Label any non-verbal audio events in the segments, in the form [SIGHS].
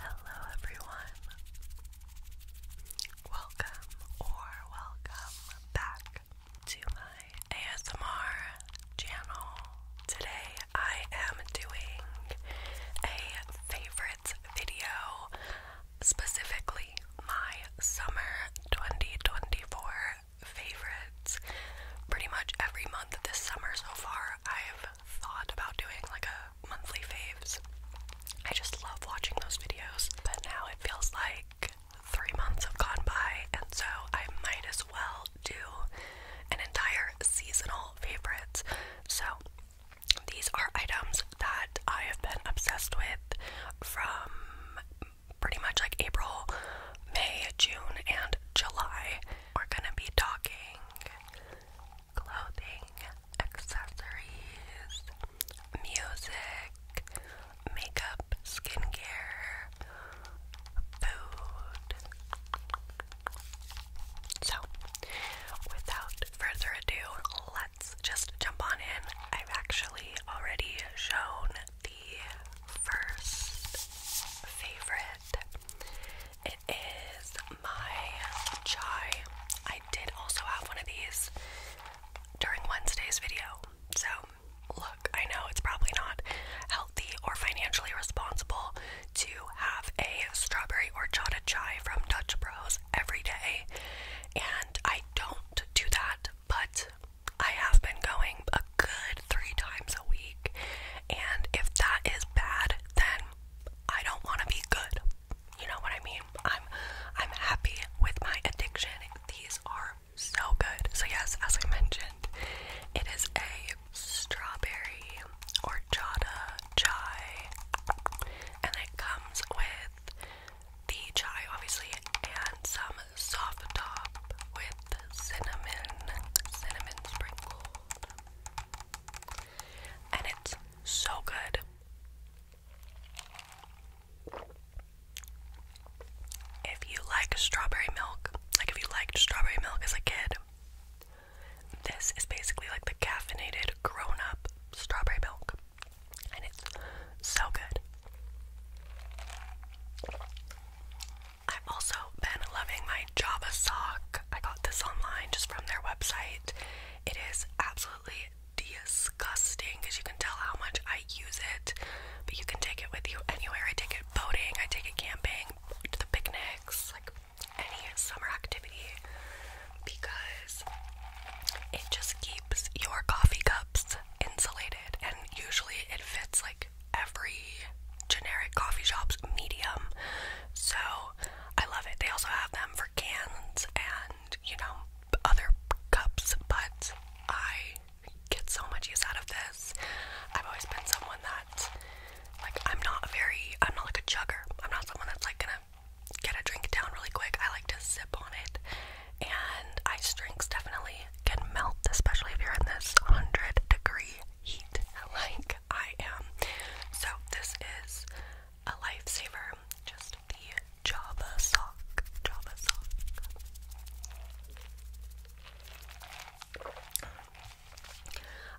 Hello, everyone. Welcome or welcome back to my ASMR channel. Today I am doing a favorites video, specifically my summer 2024 favorite pretty much every month this summer so far I've thought about doing like a monthly faves. I just love watching those videos, but now it feels like three months have gone by, and so I might as well do an entire seasonal favorites. So these are items that I have been obsessed with from pretty much like April, May, June, and July we're gonna be talking clothing, accessories, music, makeup, skincare, food. So, without further ado, let's just jump on in. I've actually already shown the first favorite it is my chai. I did also have one of these during Wednesday's video. So, look, I know it's probably not healthy or financially responsible to have a strawberry horchata chai from Dutch Bros every day. And I don't do that, but I have been going a good three times a week. And if that is bad, then I don't want to be good. You know what I mean? I'm I'm happy with my addiction. These are so good. So yes, as I mentioned, it is a strawberry horchata chai. And it comes with the chai obviously and some soft top with cinnamon cinnamon sprinkles and it's so good. If you like strawberry milk, like if you liked strawberry milk as a kid, this is basically like the caffeinated grown up strawberry milk, and it's so good. I've also been loving my Java sock. I got this online just from their website. It is absolutely disgusting because you can tell how much I use it, but you can take it with you anywhere. I take it boating, I take it camping, to the picnics, like any summer activity because it just keeps your coffee cups insulated and usually it fits like every generic coffee shop's medium. So I love it. They also have them for cans and, you know, other cups, but I get so much use out of this. I've always been someone that like I'm not a very I'm not like a chugger. I'm not someone that's like gonna get a drink down really quick. I like to sip on it. And ice drinks definitely can melt, especially if you're in this hundred degree eat like I am. So, this is a lifesaver. Just the Java sock. Java sock.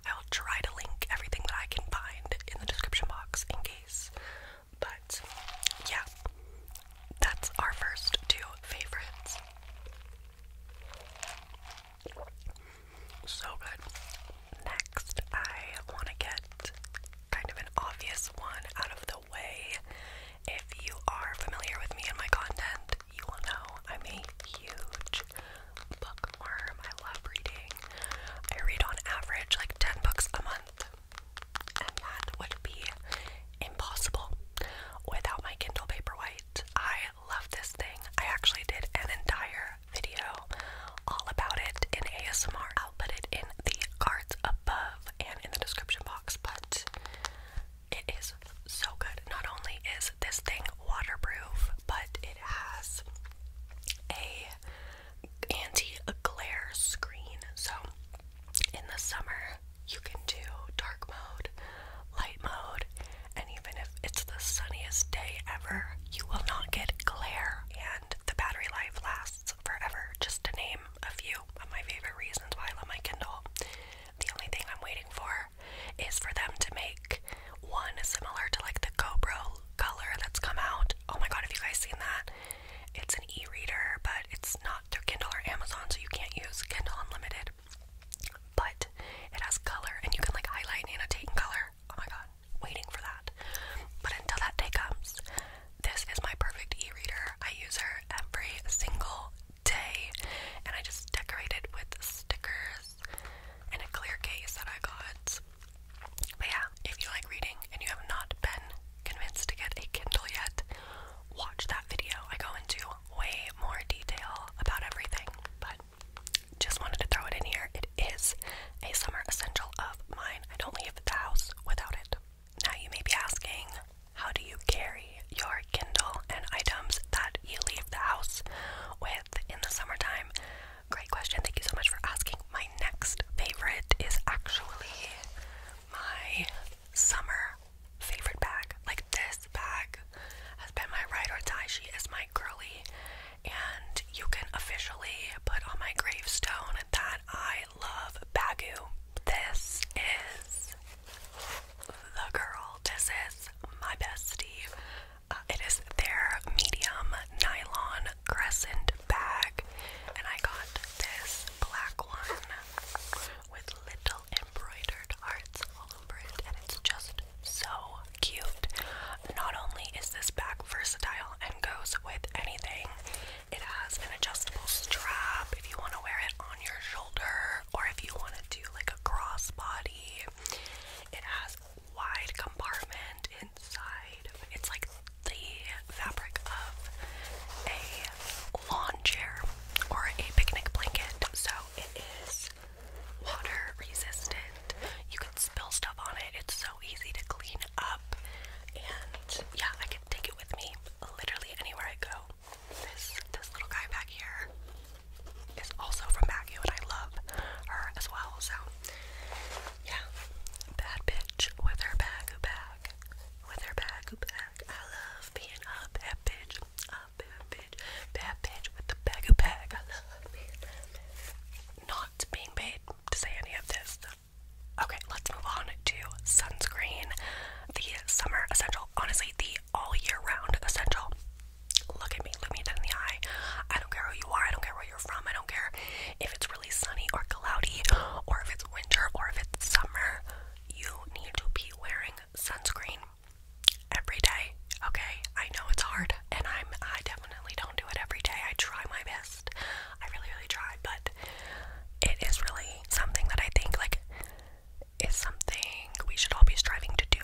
I will try to link everything that I can find in the description box in case. But yeah, that's our first two favorites. So good. Next, I want to get kind of an obvious one out of the way. If you are familiar with me and my content, you will know I'm a huge bookworm. I love reading. I read on average like 10 books a month, and that would be impossible without my Kindle Paperwhite. I love this thing. I actually did an entire video all about it in ASMR. I'll put it in the cards above and in the description box, but it is so good. Not only is this thing waterproof, but it has a anti-glare screen. So in the summer, you can do dark mode light mode, and even if it's the sunniest day ever, you will not get glare, and the battery life lasts forever. Just to name a few of my favorite reasons why I love my Kindle. The only thing I'm waiting for is for them to make one similar to like the GoPro color that's come out. Oh my god, have you guys seen that? It's an e reader, but it's not through Kindle or Amazon, so you can't use Kindle Unlimited but it has color and you can like highlight annotate in color. Oh my god, waiting for that. But until that day comes, this is my perfect e reader. I use her every single day, and I just decorate it with stickers and a clear case that I got. But yeah, if you like reading and you have not been convinced to get a Kindle yet, watch that video. I go into way more detail about everything, but but just wanted to throw it in here. It is a summer essential of mine. I don't leave the house without it. Now, you may be asking, how do you carry your Kindle and items that you leave the house with in the summertime? Great question. Thank you so much for asking. My next favorite is actually my summer favorite bag. Like, this bag has been my ride or die. She is my girly and you can officially put on my gravestone that I love Bagu. This is the girl. This is my bestie. Uh, it is their medium nylon crescent bag, and I got this black one with little embroidered hearts and it's just so cute. Not only is this bag versatile and goes with anything, it has an adjustable strap if you want to wear it on your shoulder or if you want to do like a crossbody. It has wide compartment inside. It's like the fabric of a lawn chair or a picnic blanket. So it is water resistant. You can spill stuff on it. It's so easy to clean up. And yeah, I can take it with me literally anywhere I go. This this little guy back here is also from Baguio and I love her as well. So yeah. Bad bitch with her bag bag. With her bag bag. I love being a bad bitch. A bad bitch bitch, bad bitch with the bag I love it. Not being paid to say any of this. Okay, let's move on to sunscreen. The summer essential, honestly, the all year round essential. Look at me, look me in the eye. I don't care who you are, I don't care where you're from, I don't care if it's really sunny or cloudy, or if it's winter, or if it's summer. You need to be wearing sunscreen every day. Okay, I know it's hard, and I'm I definitely don't do it every day. I try my best. I really, really try, but it is really something that I think like is something we should all be striving to do.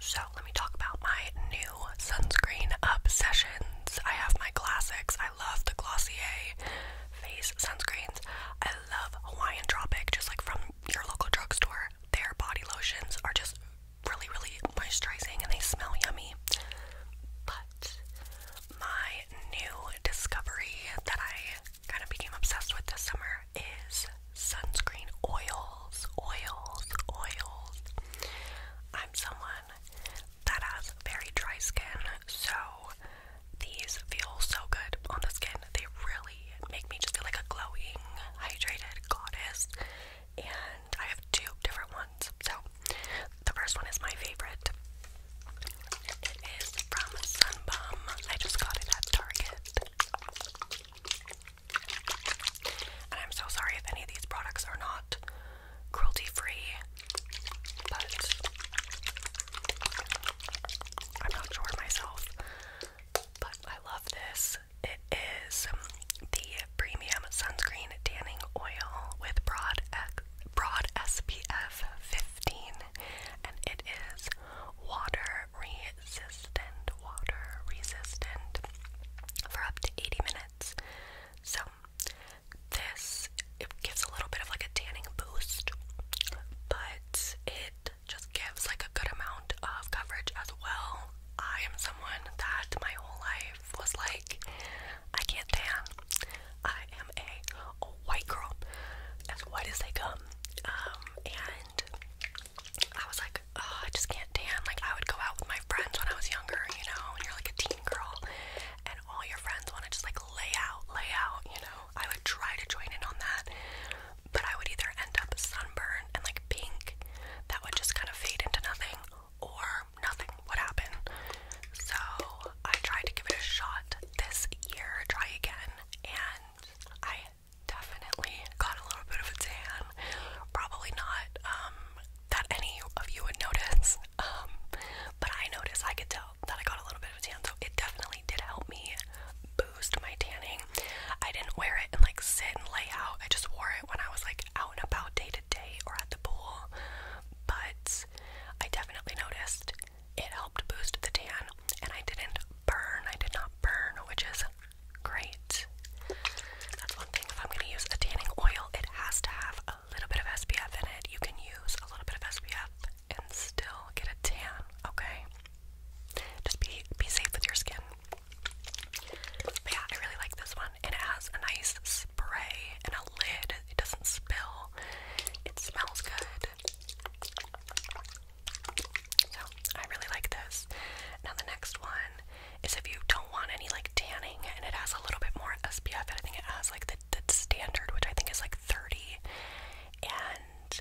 So let me talk about my new sunscreen obsessions. I have my classics. I love the Glossier face sunscreens. I love Hawaiian Tropic, just like from your local drugstore. Their body lotions are just really, really moisturizing and they smell yummy. But my new discovery that I kind of became obsessed with this summer is sunscreen oils, oils, oils. I'm someone that has very dry skin, so these feel so good on the skin. They really make me just feel like a glowing, hydrated goddess. And I have two different ones. So the first one is my favorite. It is from Sunbum. I just got it at Target. And I'm so sorry if any of these products are not cruelty free, but I'm not sure myself. But I love this. It is the premium sunscreen tanning oil with broad broad SPF 15, and it is water resistant. Water resistant for up to 80 minutes. So this it gives a little bit of like a tanning boost, but it just gives like a good amount of coverage as well. I am someone that my whole life was like, I can't tan. I am a, white girl, as white as they come. Um, and I was like, oh, I just can't tan. Like, I would go out with my friends when I was younger, you know, and you're like a teen girl, and all your friends want to just like lay out, lay out, you know. I would try to join in on that, but I would either end up sunburned and like pink that would just kind of fade into nothing or nothing would happen. So I tried to give it a shot this year, try again, and I definitely got a little bit of a tan. Probably not um, that any of you would notice, [LAUGHS] um, but I noticed, I could tell that I got a little bit of a tan, so it definitely did help me boost my tanning. I didn't wear it and like sit and lay out, I just wore it when I was like out and about day to day or at the pool, but I definitely noticed it helped boost the tan and I didn't burn. I did not burn, which is great. That's one thing. If I'm going to use a tanning oil, it has to have a little bit of SPF in it. You can use a little bit of SPF and still get a tan, okay? Just be be safe with your skin. yeah, I really like this one. It has a nice spray and a lid. It doesn't spill. It smells good. So I really like this. Now the next one is if you don't want any like tanning and it has a little bit more SPF. I think it has like the, the standard, which I think is like 30. And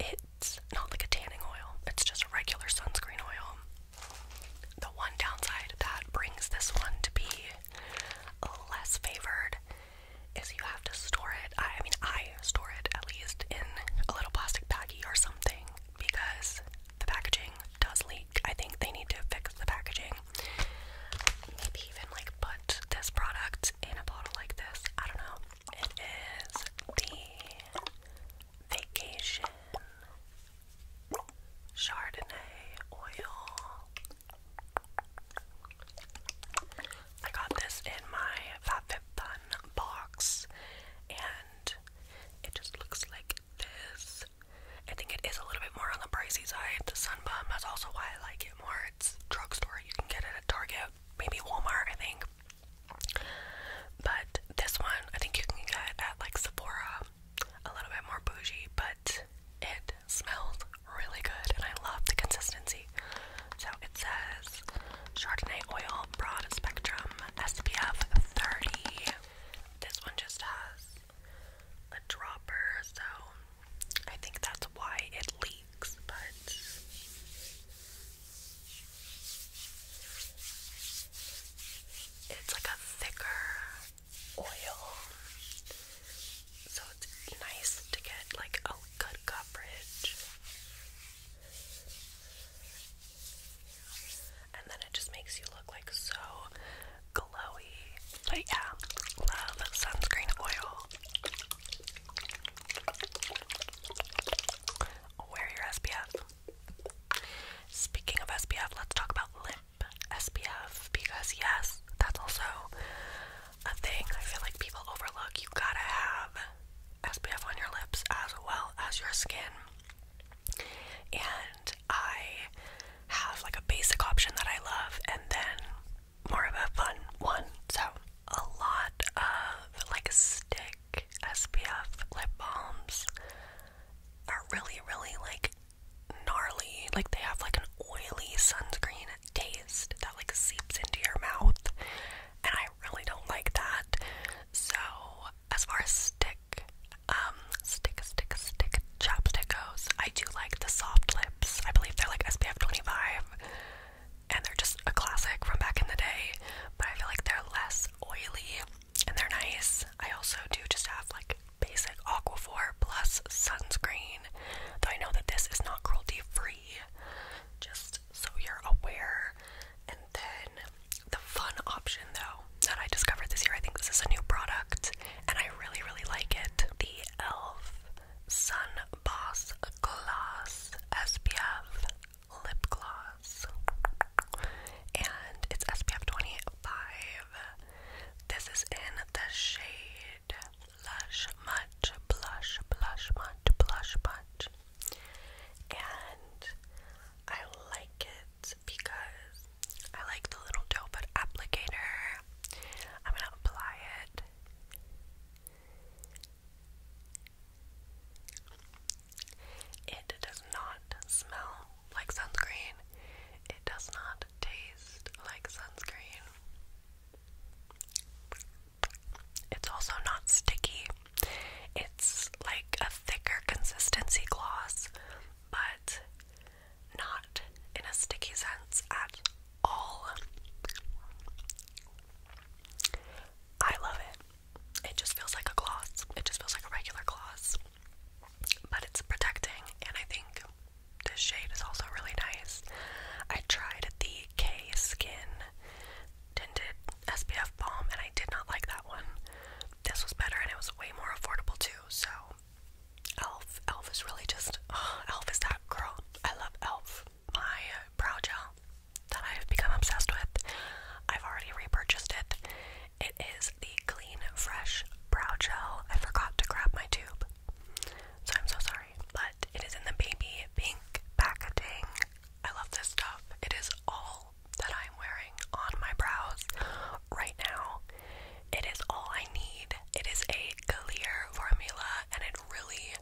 it's not like a tanning oil. It's just a regular sunscreen oil. The one downside that brings this one to be less favored is you have to store it. I, mean, I store it at least in a little plastic baggie or something because the packaging does leak. I think they need to fix the packaging. Maybe even like put this product in a bottle like this. I don't know. It is the Vacation Chardonnay oil. I got this in my Fat Fun box and it just looks like this. I think it is a little bit more on the pricey side. The sun Sunbum, that's also why I like it more. It's drugstore, you can get it at Target, maybe Walmart, I think. But this one I think you can get at like Sephora a little bit more bougie, but it smells really good and I love the consistency. So it says Chardonnay oil, broad spectrum, SPF 30. This one just has a dropper, so I think that's why it leaks, but it's like a thicker oil, so it's nice to get like a good coverage. And then it just makes you look like so glowy. But yeah, love sunscreen oil. Wear your SPF. Speaking of SPF, let's talk about lip SPF because, yes, that's also a thing I feel like people overlook. You gotta have SPF on your lips as well as your skin. And I have like a basic option that I love and then more of a fun one. So, a lot of like stick SPF lip balms are really, really like gnarly. Like they have like an oily sunscreen taste that like seeps into your mouth, and I really don't like that. So as far as stick, um, stick, stick, stick chapstick goes, I do like the soft lips. I believe they're like SPF 25, and they're just a classic from back in the day. But I feel like they're less oily and they're nice. I also do just have like basic Aquaphor plus sunscreen, though I know that this is not cruelty free, just so you're aware. And then the fun option though that I discovered this year, I think this is a new product and I really, really like it. The e.l.f. Sun Boss Gloss SPF Lip Gloss and it's SPF 25. This is in the shade blush, Much Blush, Blush Much, Blush Much. And I like it because I like the little doe applicator. I'm gonna apply it. It does not smell like sunscreen. It does not taste like sunscreen. It's also not sticky. It's like a thicker consistency gloss, but not in a sticky sense at all. I love it. It just feels like a gloss. It just feels like a regular gloss but it's protecting, and I think this shade is also really nice. I tried the K Skin tinted SPF balm, and I did not like that one. This was better, and it was way more affordable too. So, Elf, Elf is really just oh, Elf is that girl. I love Elf. My brow gel that I've become obsessed with. I've already repurchased it, it is the Clean Fresh Brow Gel. I forgot to grab my tube, so I'm so sorry. But it is in the baby pink packaging. I love this stuff. It is all that I'm wearing on my brows right now. It is all I need. It is a clear formula and it really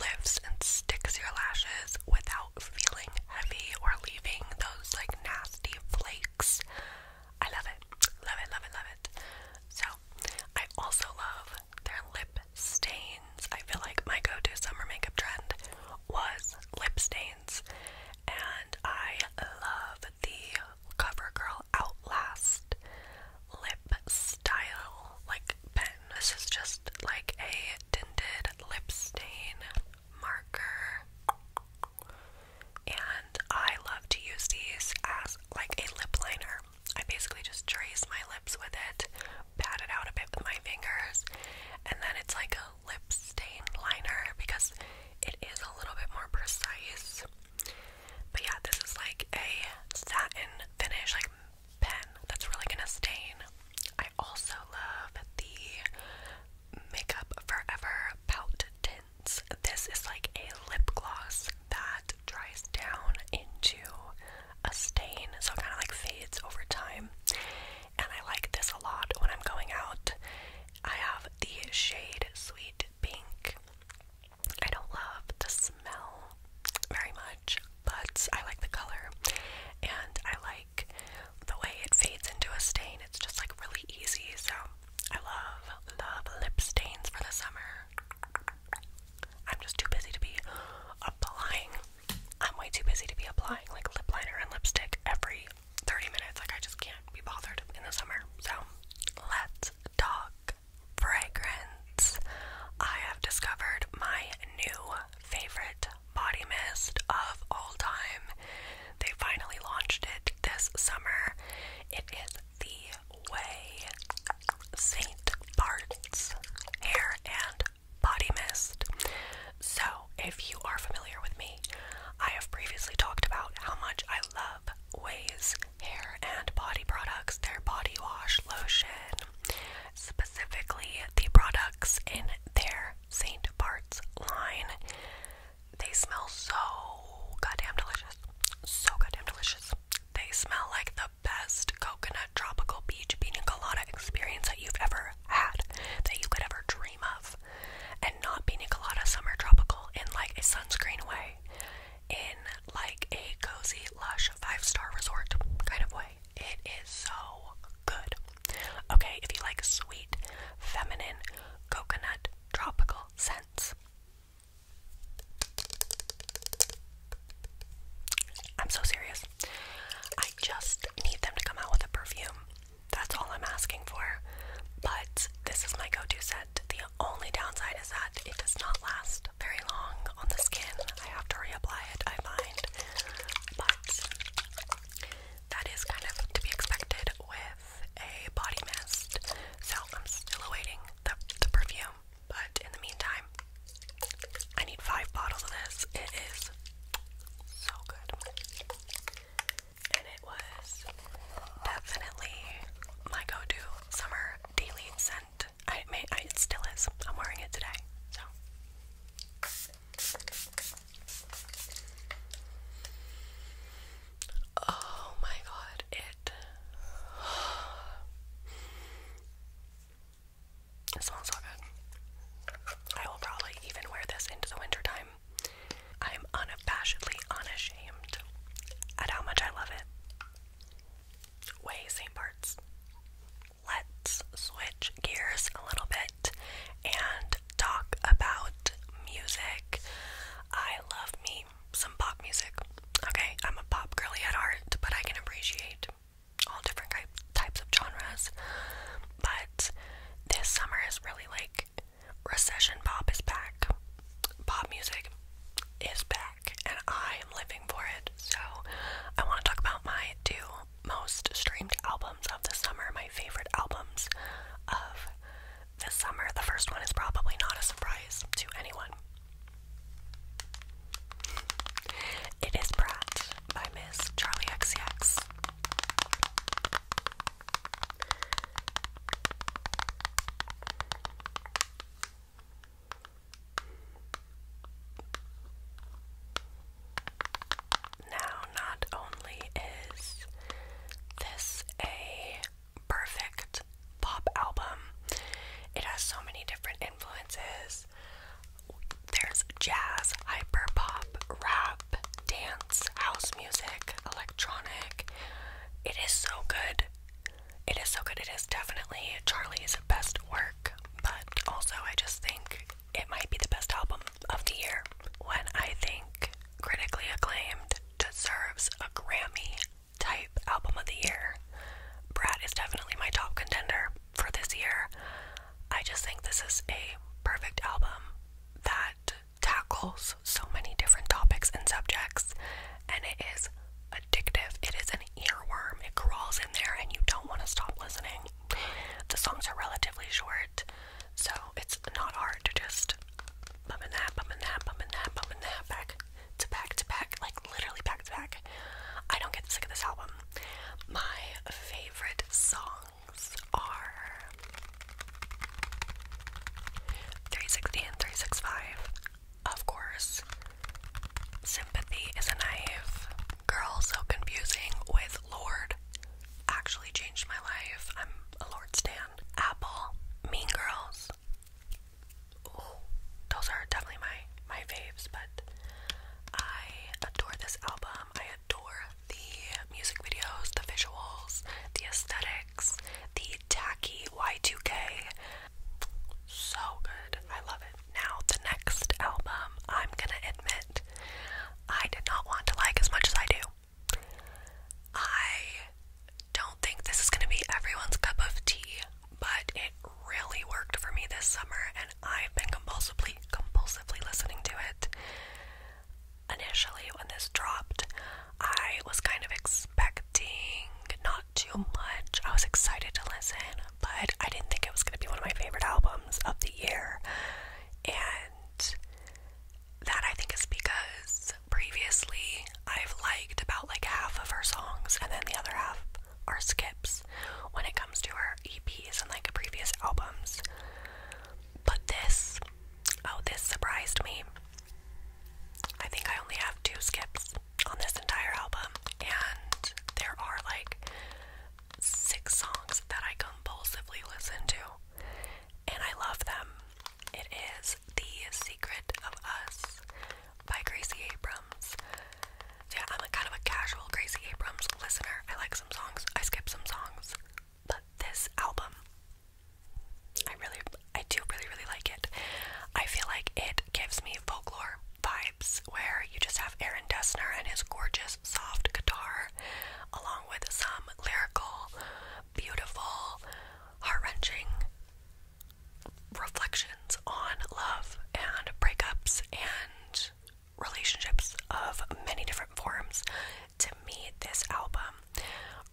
lifts and sticks your lashes without feeling heavy or leaving those like nasty flakes I love it. Love it, love it, love it. So, I also love their lip stains. I feel like my go-to summer makeup trend was lip stains. And I love the CoverGirl Outlast lip style like pen. This is just like a tinted lip stain marker. And I love to use these as like a lip liner. I basically just trace my lips with it, pat it out a bit with my fingers, and then it's like a lip stain liner because it is a little bit more precise. But yeah, this is like a satin finish, like pen that's really gonna stain. I also love the Makeup Forever Pout Tin this is like a lip gloss that dries down into a stain, so it kind of like fades over time. And I like this a lot when I'm going out. I have the shade Sweet Pink. I don't love the smell very much, but I like the color and I like the way it fades into a stain. It's just like really easy, so I love, love lip stains for the summer. I'm just too busy to be applying. I'm way too busy to be applying like lip liner and lipstick every 30 minutes. Like, I just can't be bothered in the summer. So, let's talk fragrance. I have discovered my new favorite body mist of all time. They finally launched it this summer. It is the Way St. Bart's Hair and Body Mist. So, if you are familiar with me, I have previously talked about how much I love Way's hair and body products, their body wash lotion, specifically the products in their St. Bart's line. They smell so goddamn delicious. So goddamn delicious. They smell like the best coconut tropical beach pina colada experience that you've ever had, that you could ever dream of. And not pina colada summer tropical in like a sunscreen way, in like a cozy, lush, five star resort kind of way. It is so good. Okay, if you like sweet, feminine, coconut, tropical scent I'm so serious. I just need them to come out with a perfume. That's all I'm asking for. But this is my go to set. The only downside is that it does not last very long on the skin. I have to reapply it, I find. But that is kind of to be expected with a body mist. So I'm still awaiting the, the perfume. But in the meantime, I need five bottles of this. It is so good. And it was definitely my go-to summer daily scent. I may it still is. I'm wearing it today. So Oh my god, it. [SIGHS] smells so good. I will probably even wear this into the wintertime. I'm unabashedly unashamed at how much I love it. Way, same parts. Let's switch gears a little bit and talk about music. I love me some pop music. Okay, I'm a pop girly at heart, but I can appreciate all different types of genres. But this summer is really like recession pop is back. Pop music is back, and I am living for it. So, I want to talk about my two most streamed albums of the summer, my favorite albums of this summer. The first one is probably not a surprise to anyone. It is Pratt by Miss Charlie XCX. Now, not only is this a perfect pop album. It has so many different influences. There's jazz, hyper pop, rap, dance, house music, electronic. It is so good. It is so good. It is definitely Charlie's best work, but also I just think it might be the best album of the year. When I think critically acclaimed, deserves a Grammy type album of the year. Brad is definitely my top contender for this year. I just think this is a perfect album that tackles so many different topics and subjects, and it is addictive. It is an earworm, it crawls in there, and you don't want to stop listening. The songs are relatively short, so it's not hard to just bum that, bum that, bum that, bum that, back to back to back, like literally back to back. I don't get sick of this album. My favorite songs are 360 and 365, of course. Sympathy is a knife. Girl, so confusing with Lord. Actually changed my life. I'm a Lord Stan. Apple, Mean Girls those. are definitely my my faves, but I adore this album. I adore the music videos, the visuals, the aesthetics, the tacky Y2K. So good. I love it. Now, the next album, I'm gonna admit, I did not want to like as much as I do. I don't think this is going to be everyone's cup of tea, but it really worked for me this summer, and I've been compulsively, compulsively listening to it. Initially, when this dropped, I was kind of expecting not too much. I was excited to listen, but I didn't think it was going to be one of my favorite albums of the year. And that I think is because previously I've liked about like half of her songs and then the other half are skips when it comes to her EPs and like previous albums. But this, oh, this surprised me. I think I only have two skips on this entire album, and there are like six songs that I compulsively listen to, and I love them. It is the Secret of Us by Gracie Abrams. yeah, I'm kind of a casual Gracie Abrams listener. I like some songs, I skip some songs, but this album, I really, I do really, really like it. I feel like it gives me folklore vibes where you just have Aaron Dessner and his gorgeous soft guitar, along with some lyrical, beautiful, heart wrenching reflections on love and breakups and relationships of many different forms. To me, this album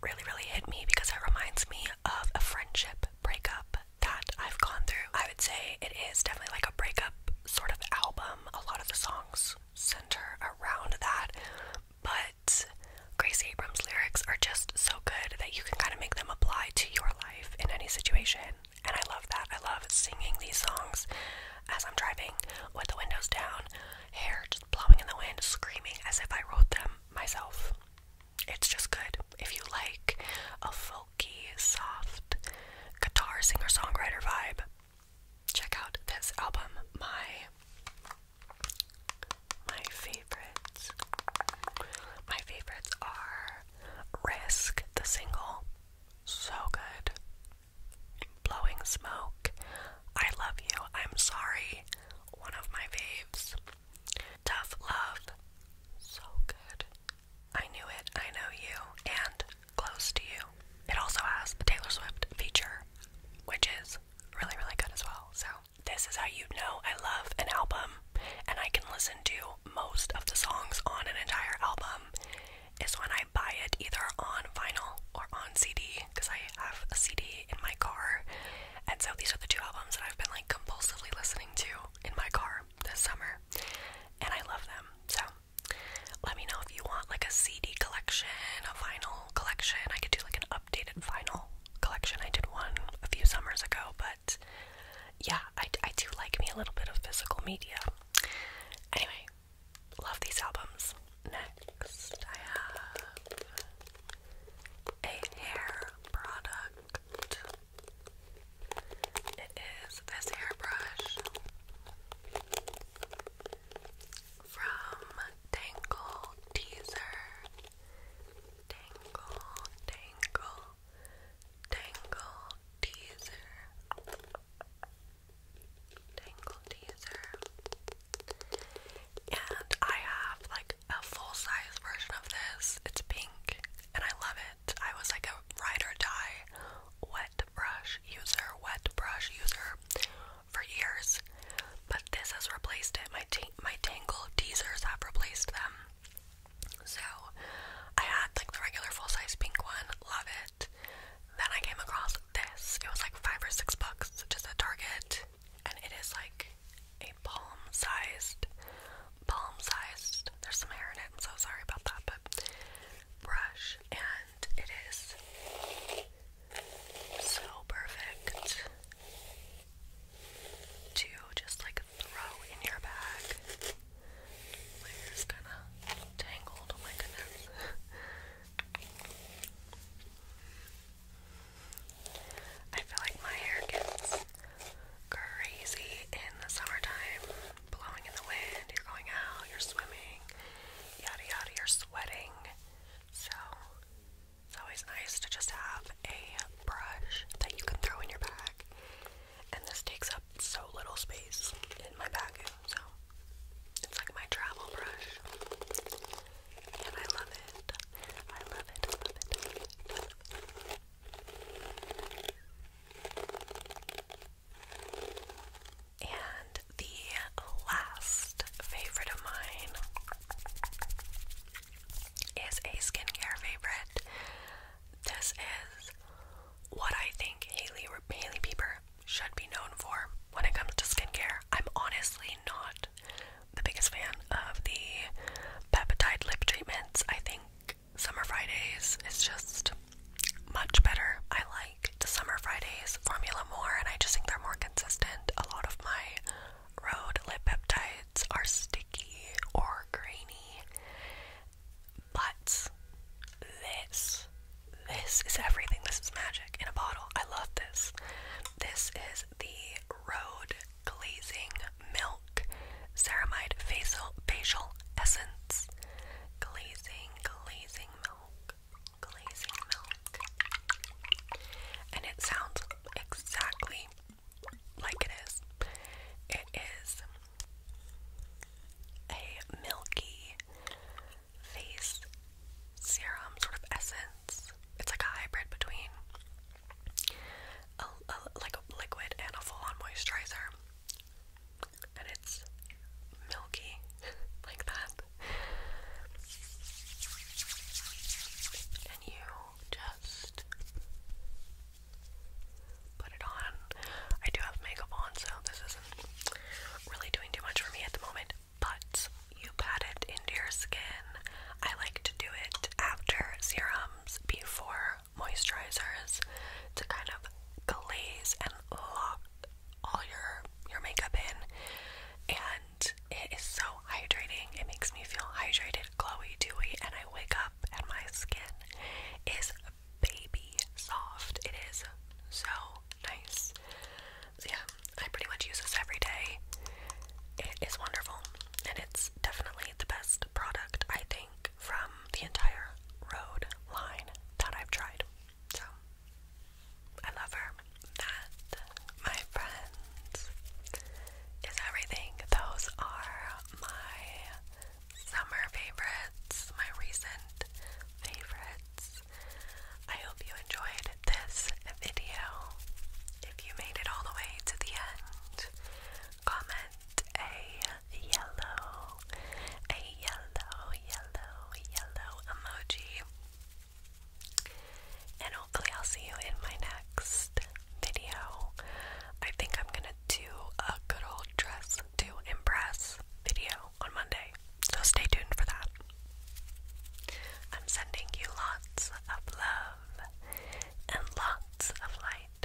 really, really hit me because it reminds me of a friendship breakup that I've gone through. I would say it is definitely like a breakup sort of album. A lot of the songs center around that but Grace Abrams' lyrics are just so good that you can kind of make them apply to your life in any situation. And I love that. I love singing these songs as I'm driving with the windows down, hair just blowing in the wind, screaming as if I wrote them myself. It's just good. If you like a folky, soft guitar singer songwriter vibe, check out this album. My my favorites. My favorites are Risk, the single. So good. Blowing Smoke. I Love You, I'm Sorry. One of my faves. Tough Love. So good. I Knew It, I Know You, and Close to You. It also has the Taylor Swift feature, which is really, really good as well. So this is how you know I love an album and I can listen to most of the songs on an entire album is when I buy it either on vinyl or on CD because I have a CD in my car. And so these are the two albums that I've been like compulsively listening to in my car this summer and I love them. So let me know if you want like a CD collection, a vinyl collection. I could do like an updated vinyl collection. I did one a few summers ago, but yeah, I, I do like me a little bit of physical media. Anyway, love these albums. Next, I have a hair product. It is this hairbrush from Tangle Teaser. Tangle, Tangle, Tangle Teaser. Tangle Teaser. And I have like a full size version of this. It's pink and I love it. I was like a ride or die wet brush user, wet brush user for years. But this has replaced it. My team my Tangle teasers have replaced them. So I had like the regular full size pink one, love it. Then I came across this. It was like five or six bucks just at Target, and it is like a palm sized, palm sized. There's some hair in it. I'm so sorry about that, but brush, and it is so perfect to just like throw in your bag. My hair's kind of tangled. Oh my goodness. I feel like my hair gets crazy in the summertime. Blowing in the wind, you're going out, you're swimming, yada yada, you're sweating. So, it's always nice to just have a brush that you can throw in your bag. And this takes up so little space in my bag, so it's like my travel brush. And I love it. I love it. And the last favorite of mine is a skincare favorite. This is what I think Haley Haley Bieber should be known for when it comes to skincare. I'm honestly not the biggest fan of the peptide lip treatments. I think Summer Fridays is just much better. I like the Summer Fridays formula more, and I just think they're more consistent. A lot of my Road lipeptides are sticky or grainy, but this, this is everything. This is magic in a bottle. I love this. This is the Road Glazing Milk Ceramide Facial Facial Essence. Glazing, glazing milk, glazing milk. And it sounds exactly like it is. It is a milky face serum sort of essence. It's like a hybrid between a, like liquid and a full-on moisturizer. And it's milky [LAUGHS] like that. And you just just put it on. I do have makeup on, so this isn't really doing too much for me at the moment, but you pat it into your skin. I like to do it after serums, before moisturizers, to kind of glaze and lock all your your makeup in and it is so hydrating. It makes me feel hydrated, glowy, dewy, and I. I wake up and my skin is baby soft. It is so nice. yeah, I pretty much use this every day. It is wonderful, and it's definitely the best product I think from the entire Road line that I've tried. So I love her. That, my friends, is everything. Those are my summer favorites, my recent favorites. I hope you enjoyed this video. If you made it all the way to the end, comment a yellow, a yellow, yellow, yellow emoji. And hopefully, I'll see you in my next video. I think I'm gonna do a good old dress to impress video on Monday, so stay tuned for that. I'm sending you lots of love and lots of light.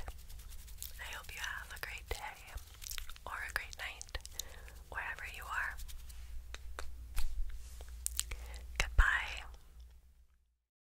I hope you have a great day or a great night wherever you are. Goodbye.